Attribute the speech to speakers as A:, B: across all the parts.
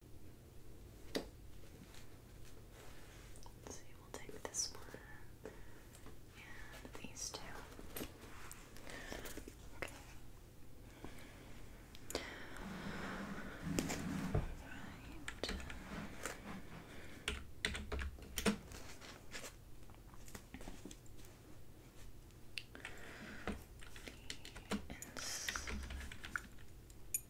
A: So we'll take this one and these two. Okay. Right.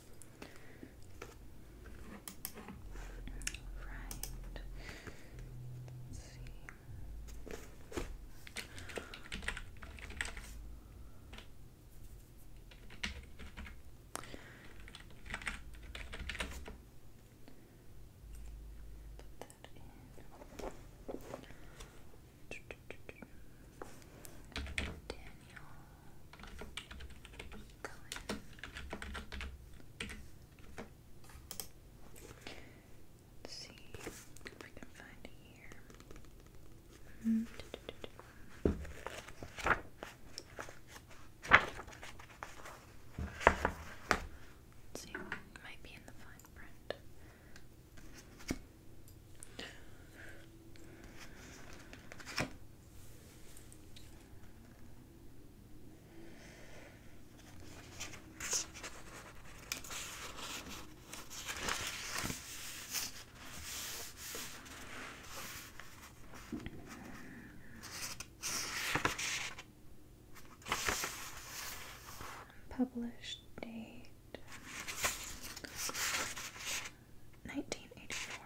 A: Right. let see. Put that in. Daniel. Let's see if I can find it here. see, might be in the fine print. Published date nineteen eighty four.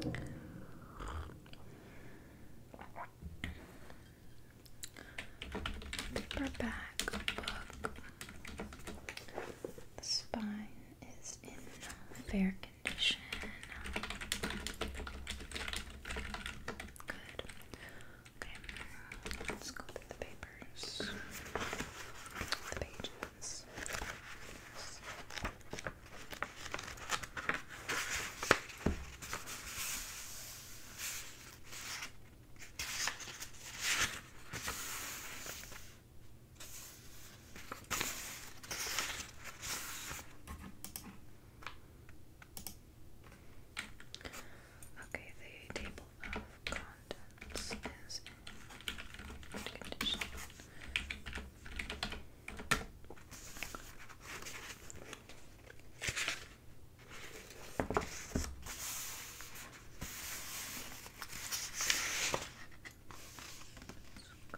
A: Paperback. Paperback book. The spine is in fair condition. Good. Okay, let's go through the papers, the pages. Okay, the table of contents is in good condition.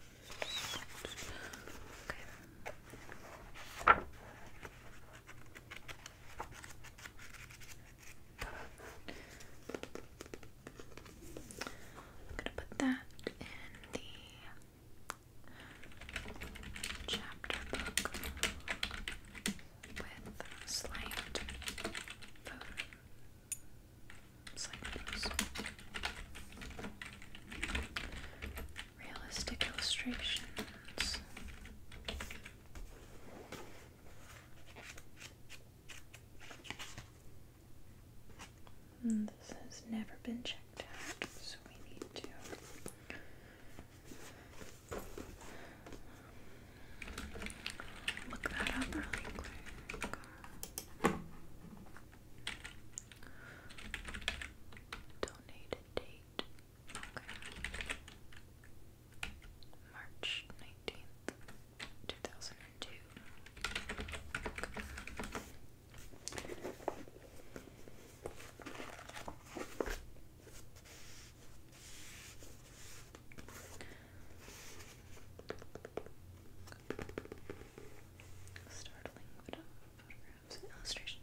A: Okay. I'm gonna put that in the chapter book with slant Realistic illustrations. Hmm, this has never been checked out, so we need to. Look that up really Donate a date. March 19th, Startling photograph. Oops, illustration.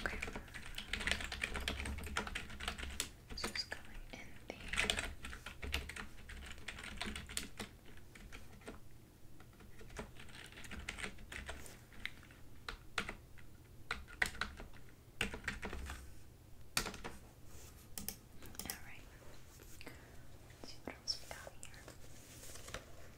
A: Okay. This is going in the Alright. see what else we got here.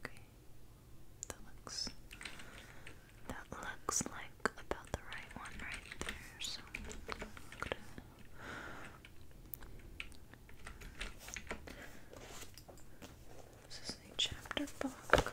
A: Okay. That looks that looks like about the right one right there. So this is a chapter book.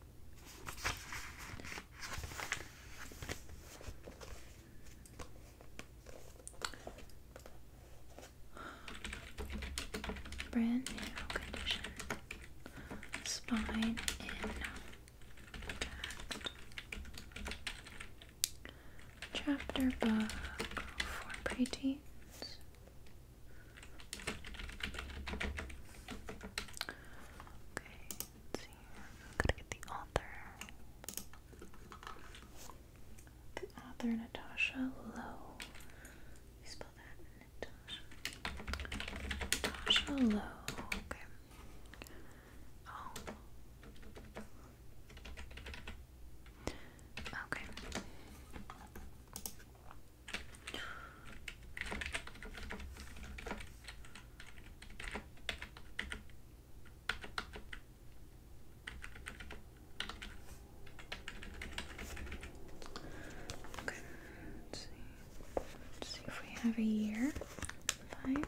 A: Brand new condition. Spine in Chapter book for preteens. Okay, let's see. i to get the author. The author Natasha Lowe. You spell that Natasha. Natasha Lowe. Okay. Oh. Okay. Okay, let's see. Let's see if we have a year. Find.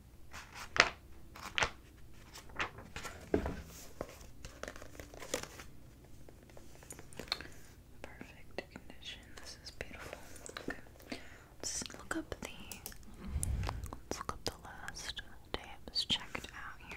A: Perfect condition. This is beautiful. Let's look up the let's look up the last day it was checked out here.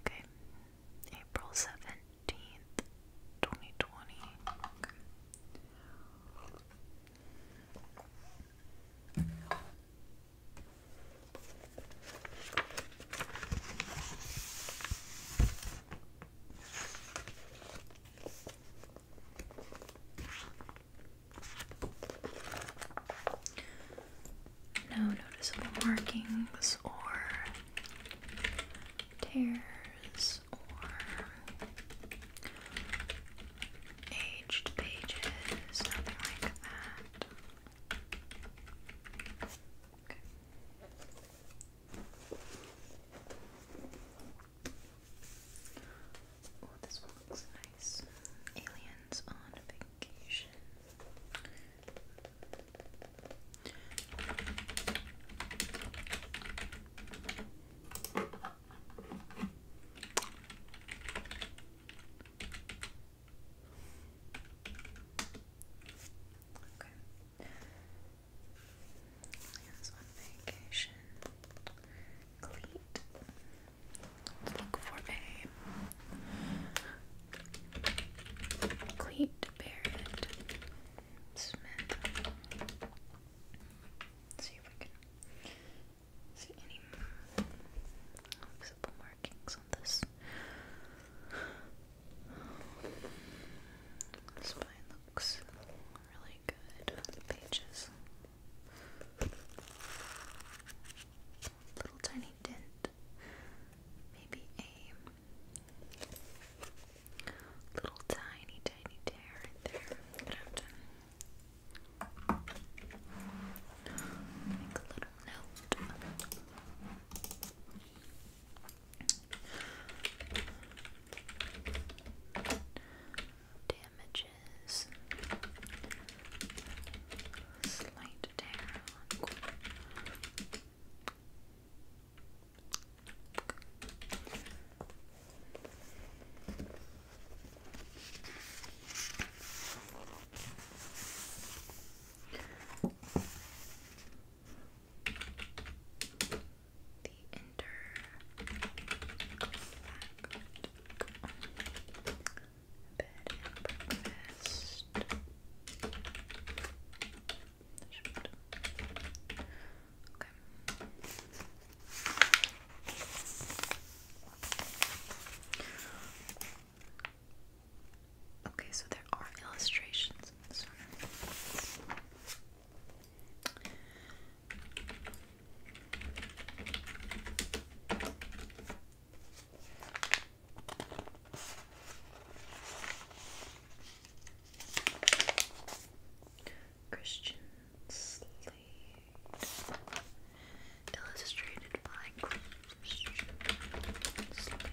A: Okay, April seventeenth, twenty twenty. No noticeable markings or tears or aged pages, nothing like that. Okay. Oh, this one looks nice. Aliens on vacation. Okay. Lance on vacation. Cleat. look for a cleat Barrett Smith. see if we can see any visible markings on this. The spine looks really good. The pages Little tiny dent. Maybe a little tiny, tiny tear right there. Make a little note damages, slight down. Okay the inter bed and breakfast. Okay. Okay, so there are illustrations Christian Slade illustrated by Christian Slade.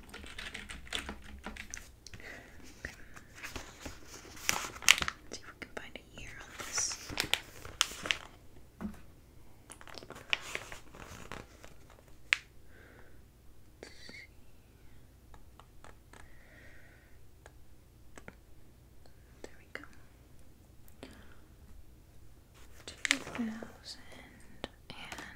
A: Let's see if we can find a year on this. Let's see. There we go. Two thousand and eleven.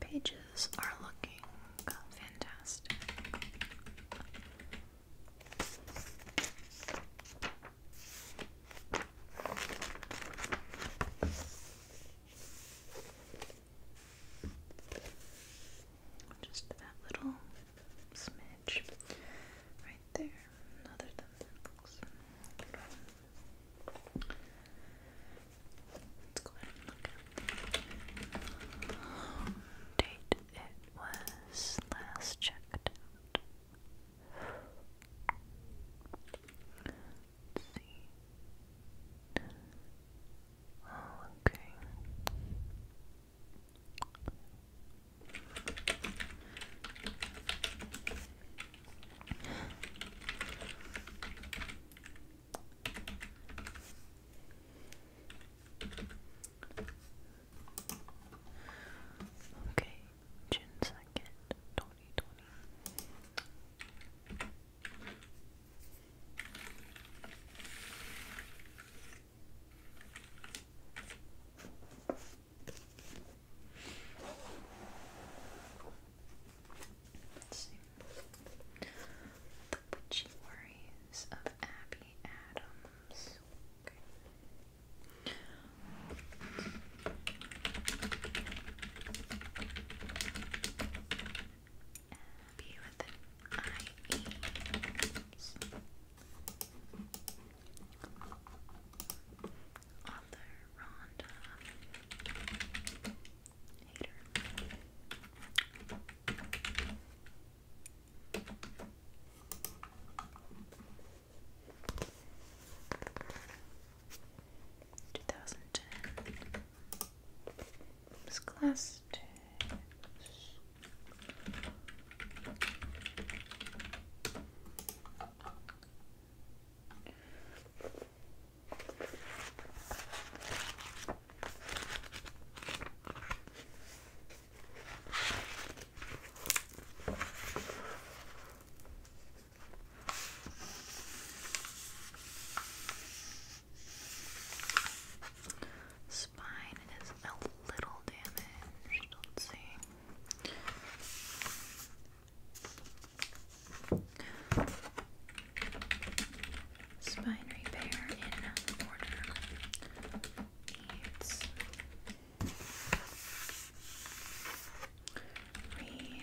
A: Pages are looking fantastic. Just that little smidge right there. Other than that Let's go ahead and look at the date it was last checked see. Oh, okay. Okay, June second, twenty twenty. Let's The Witchy of Abby Adams. Okay. Author Rhonda Hater. Two thousand ten. This class Spine is a little damaged. Let's see. Spine repair in order needs renewed.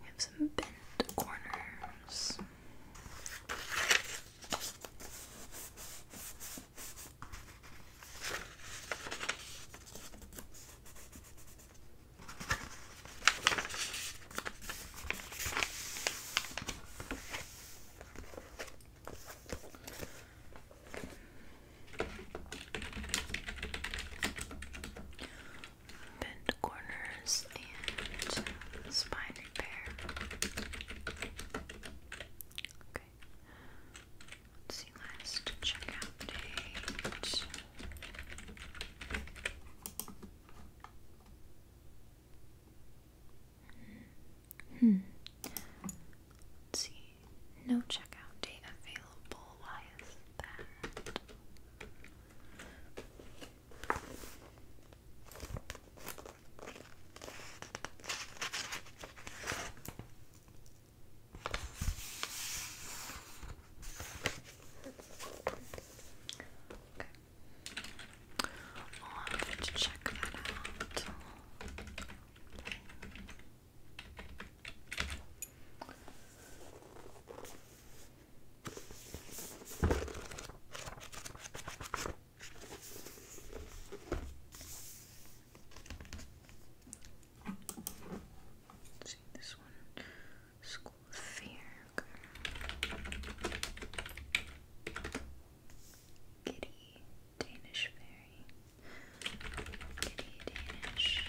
A: We have some bent corners bent corners, and spine repair. Okay. see, last checkout date. Hmm. see. No checkout date available. Why is that? I'll check that out. Let's see this one. School of Fear. Kitty Danish Fairy. Kitty Danish.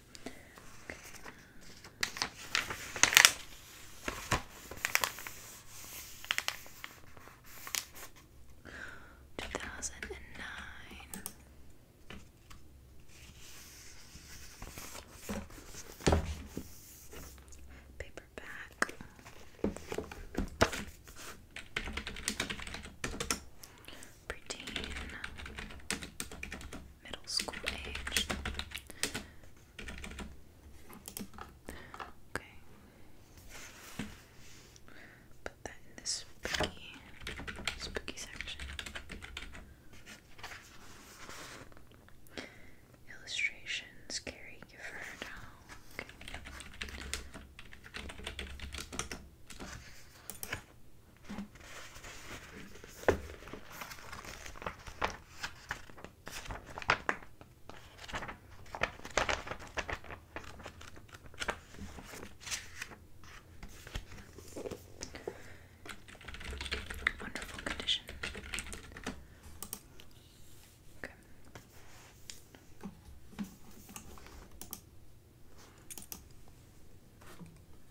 A: Two thousand and nine. Paperback. Preteen middle school age. Okay. Put that in this spooky, spooky section. Illustrations, Gary Gifford. Wonderful condition. Okay.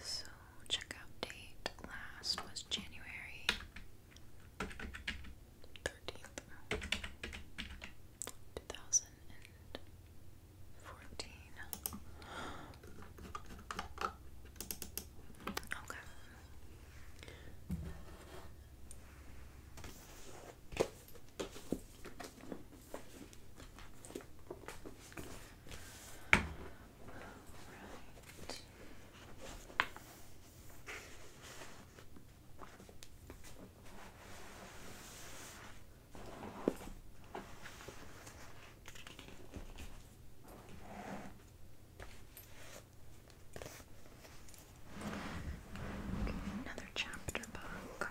A: So checkout date last was January 13th, 2014. Okay. All right. Okay, another chapter book.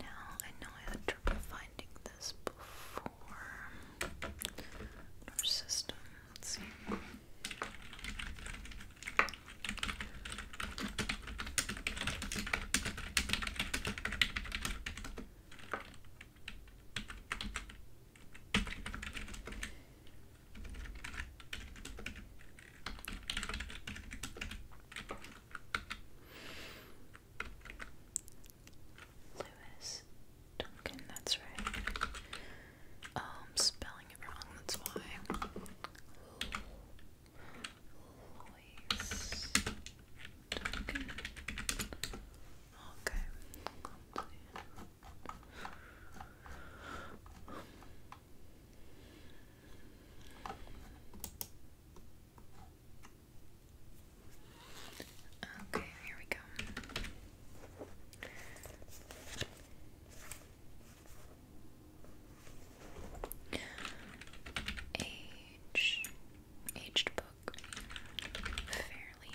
A: Now, I know I had trouble finding this before our system. Let's see. Lewis Duncan, that's right. Oh, I'm um, spelling it wrong, that's why. Lewis Duncan. Okay. Okay, here we go. Age, aged book, fairly.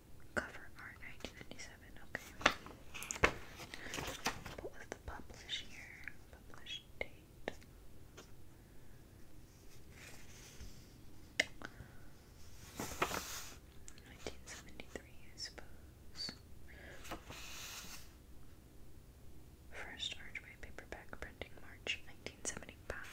A: Cover art 1997, okay. What was the publish year? Publish date. Nineteen seventy-three, I suppose. First Archway paperback printing, March nineteen seventy-five.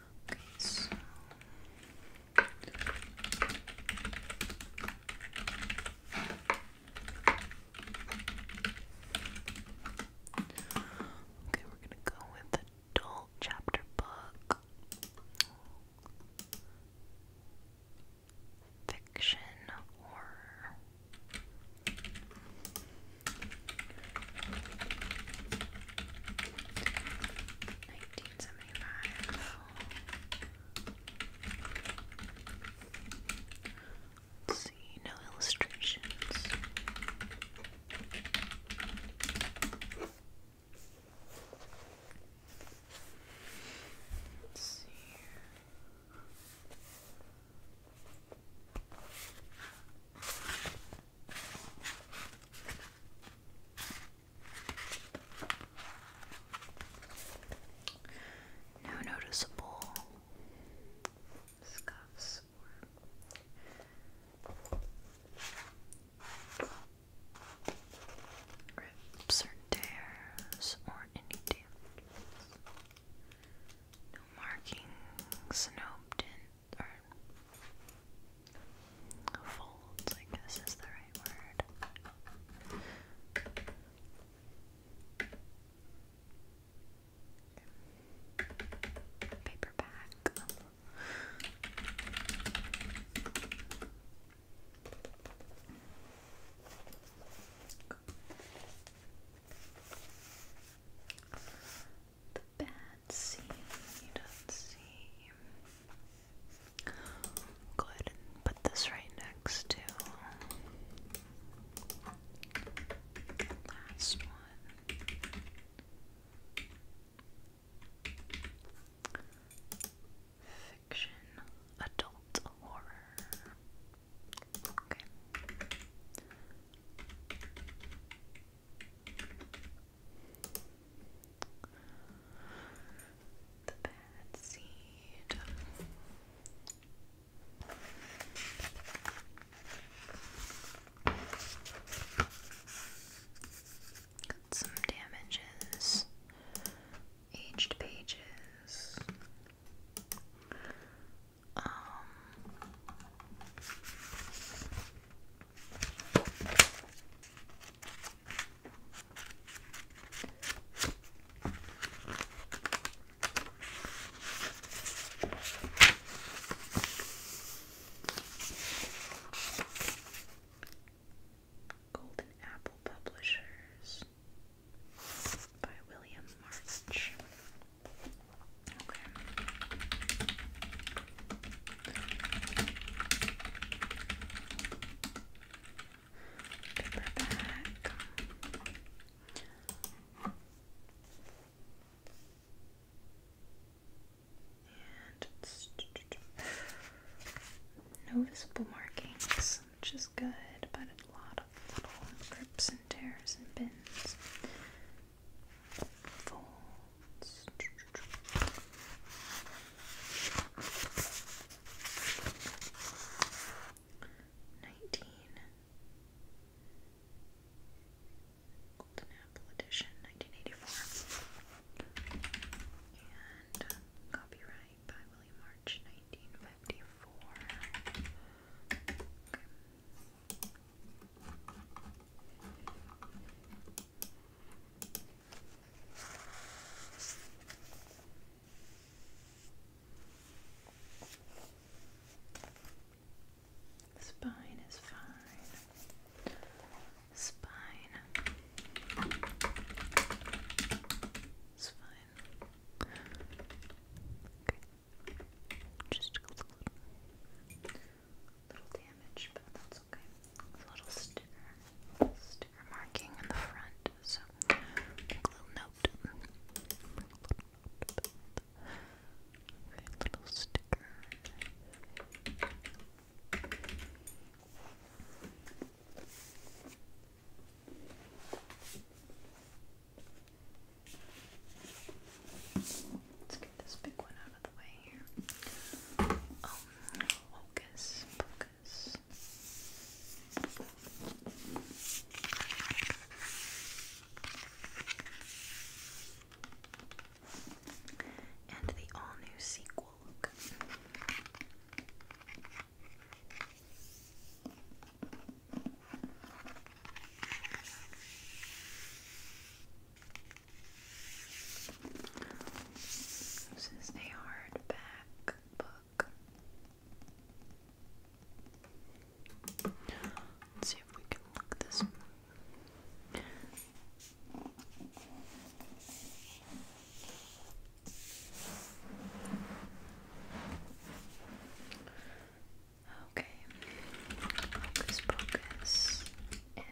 A: Okay, so Okay, we're gonna go with the adult chapter book. Fiction horror. Nineteen seventy five. Let's see, no illustrations. Let's see here. No noticeable scuffs or rips or tears or any damage. No markings, no dents or folds, I guess is the right word. Paperback the bad seam you don't see. Go put this right next to last one. Fiction, adult horror. Okay. The bad seed. Got some damages, aged pages. Um, Golden Apple Publishers by William March. Paperback. And it's no visible markings, which is good, but a lot of little grips and tears and bins folds. Nineteen Golden Apple Edition, nineteen eighty-four, and uh, copyright by William March, nineteen fifty-four. Spine is fine. Spine. It's fine. Okay. Just a little little damage, but that's okay. A little sticker, sticker marking in the front, so make a little note. little sticker. Let's get this big one out um, focus, focus. And the all new sequel look. This is a hardback book. Let's see if we can look this one. Okay, focus, focus,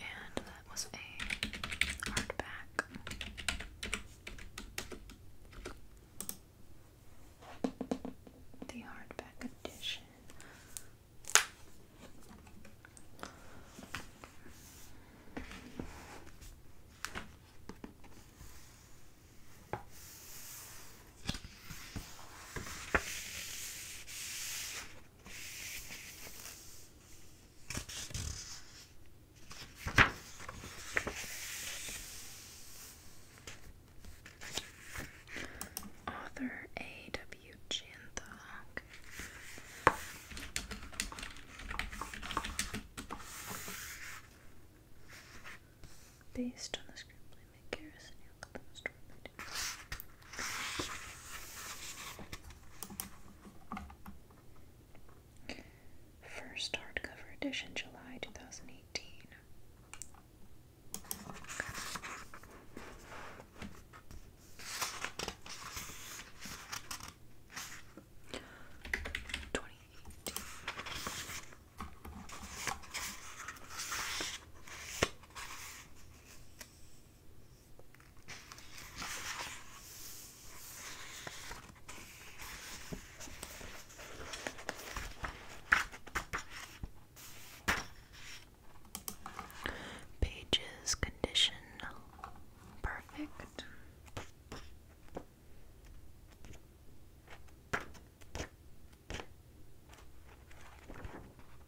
A: and that was a hardback. The hardback edition. Author A. W. Janthock. Based on the screenplay, Mick Garrison, Young, First hardcover edition, July 2018. Twenty eighteen. Pages condition perfect.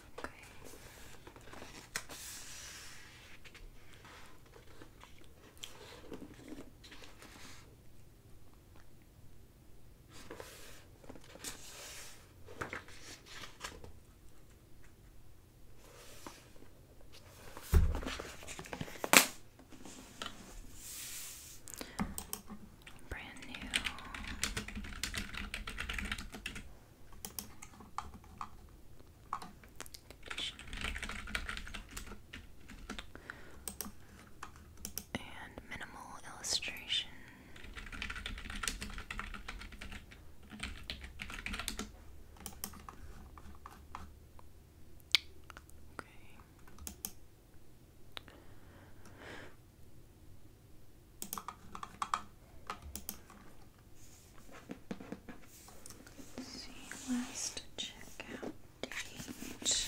A: Okay. Brand new and minimal illustration. Okay. Let's see, last checkout date.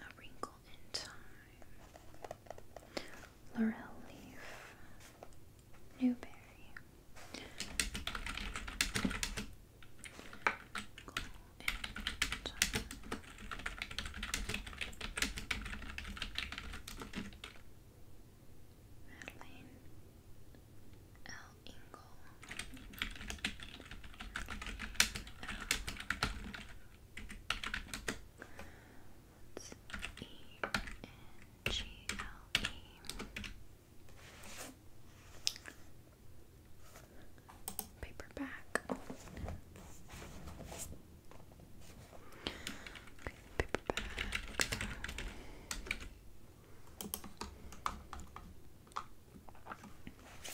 A: A Wrinkle in Time, Laurel Leaf, Newberry, Madeline L. Ingle that's E N G L E. Paperback. paperback.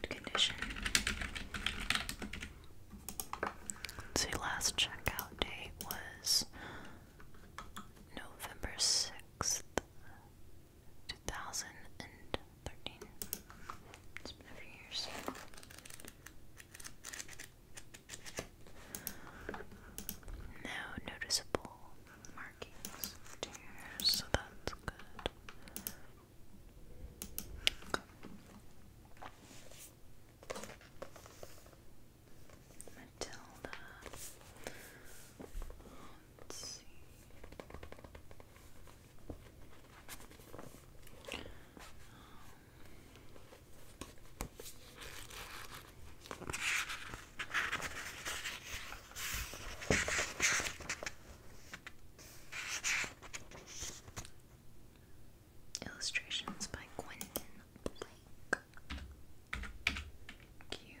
A: Good condition. So last checkout date was November sixth. 2013. It's been a few years. No noticeable markings to so that's good. Matilda. Let's see. Illustrations by Quentin Blake. Cute.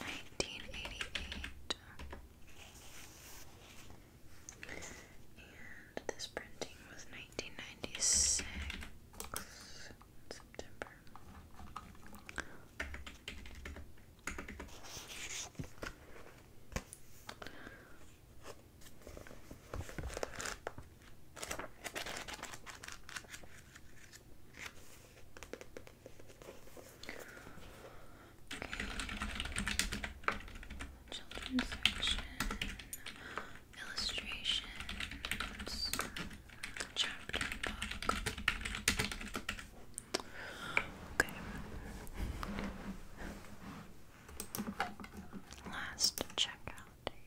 A: Nineteen eighty eight, and this printing was nineteen ninety six September. Children's section, illustrations, chapter book. Okay. Last checkout day.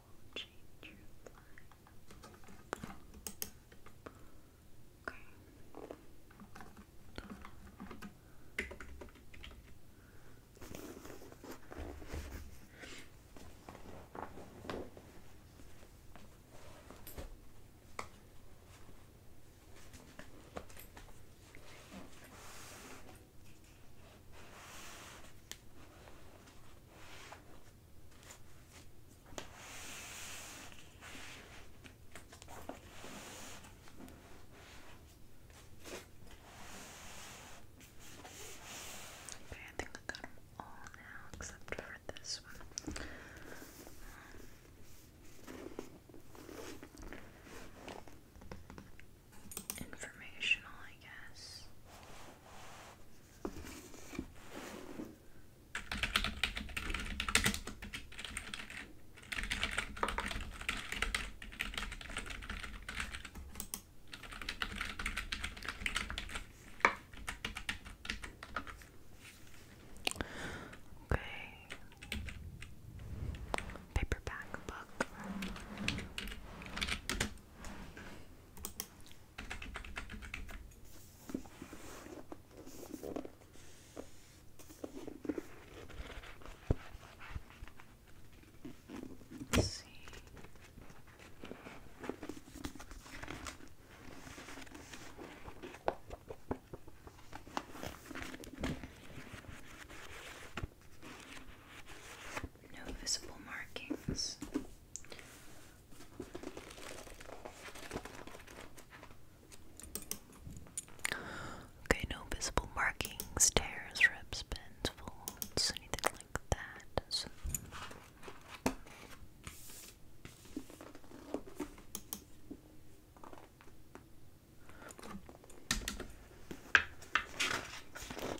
A: will change Okay. Okay, I think I got them all now except for this one informational, I guess. Okay. Paperback book. No visible markings. Okay, no visible markings, tears, rips, bends, folds, anything like that.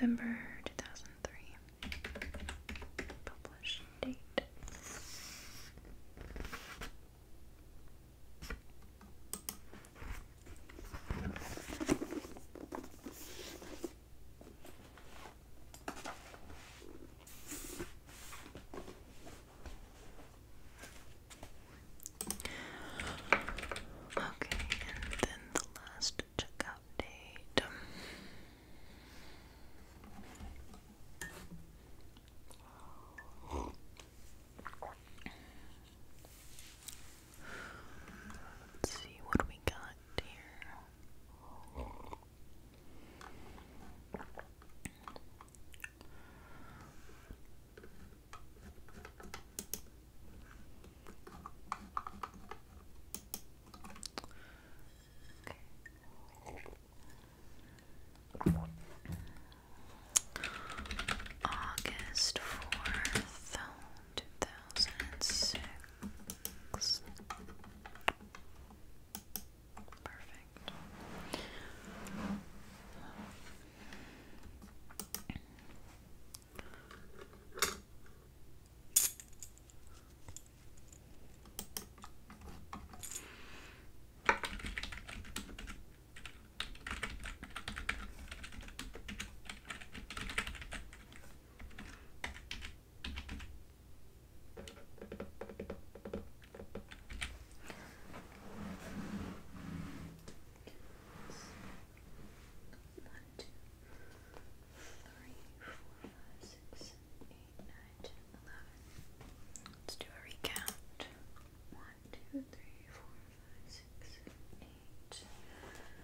A: November two thousand three published date. Okay, and then the last checkout date. Let's see what we got here. Okay. August fourth, two thousand six six. Perfect five, six, seven, eight, nine, ten, eleven. Let's do a recount. One, two, three, four, five, six, seven, eight.